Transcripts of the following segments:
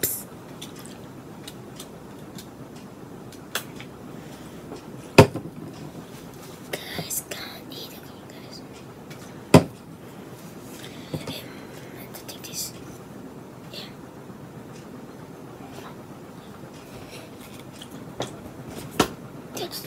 Psst. Guys, can't eat it, guys. Um, I think this. Yeah. That's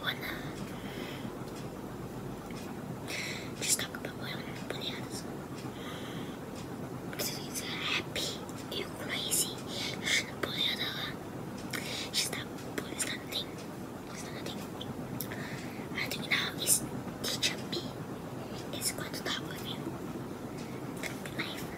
wanna? Just talk about what everybody has. She's happy, you crazy. She's not bully at all. She's not bully, it's not a thing. It's not a thing. I think now is teaching me It's going to talk with you. Good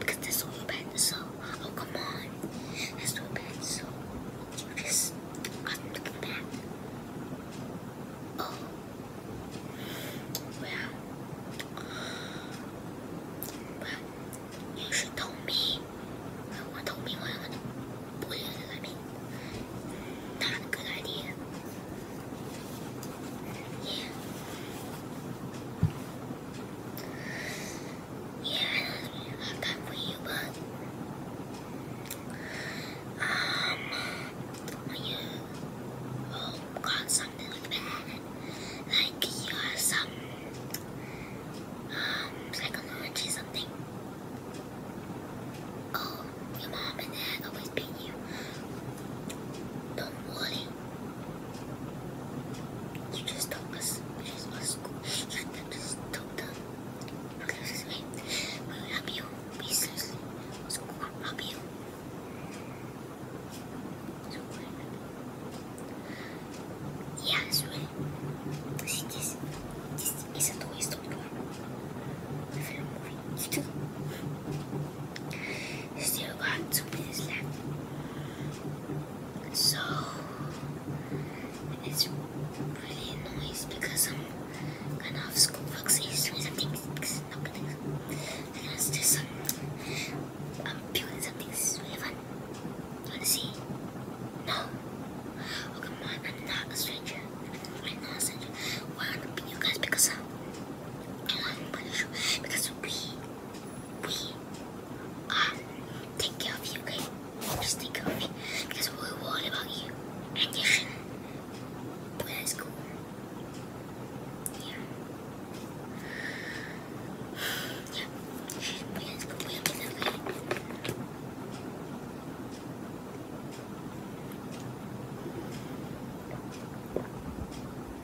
Because there's no So, Oh, come on. There's no pencil. You just unlook that. Oh. Well. Well, you should tell me. Well, tell me what I'm going to put in. I mean, not a good yeah, I love that for you, but um, you oh got something like like you have some um psychology something. Oh, your mom and dad always beat you. Don't worry. You just told us this was school. You just told us. Excuse me. We will help you. We seriously school will help you. Yeah, it's really. See, this, this is a toy store. I feel moving still got two minutes left. So it's really annoying because I'm gonna have school books doing something not good things. And it's just some I'm building something really fun. Wanna see? No. Oh come on, I'm not a stranger. I'm not a stranger. Why well, you guys because I'm, I'm because we we are take care of you, okay? Just take care of you. Because we're worried about you. And you shouldn't. But that's Yeah. Yeah. Please, please, please,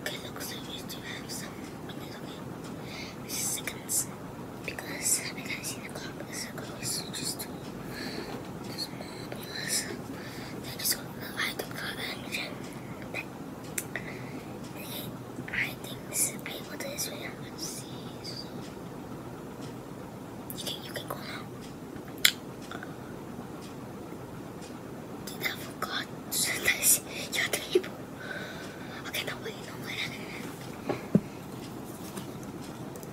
Okay, look, so we do have some minutes, okay? Seconds. Because I have seen the clock, because the clock is just too because they just got the light up for engine. But, okay, I think this is, I will see, You can you can go now. Did I forgot sometimes your table? Okay, no wait, no wait.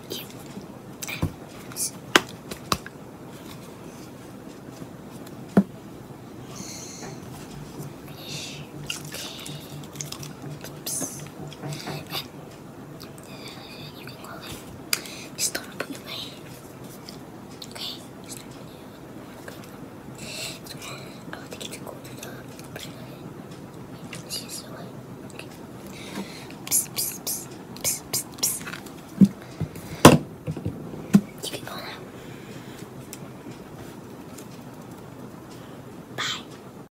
Yeah. Okay. Oops. And You can go away. Just don't put me away. Okay? Just don't put me away. I would to the the way. Okay. Psst, psst, psst, psst, psst, psst. You can go now. Bye.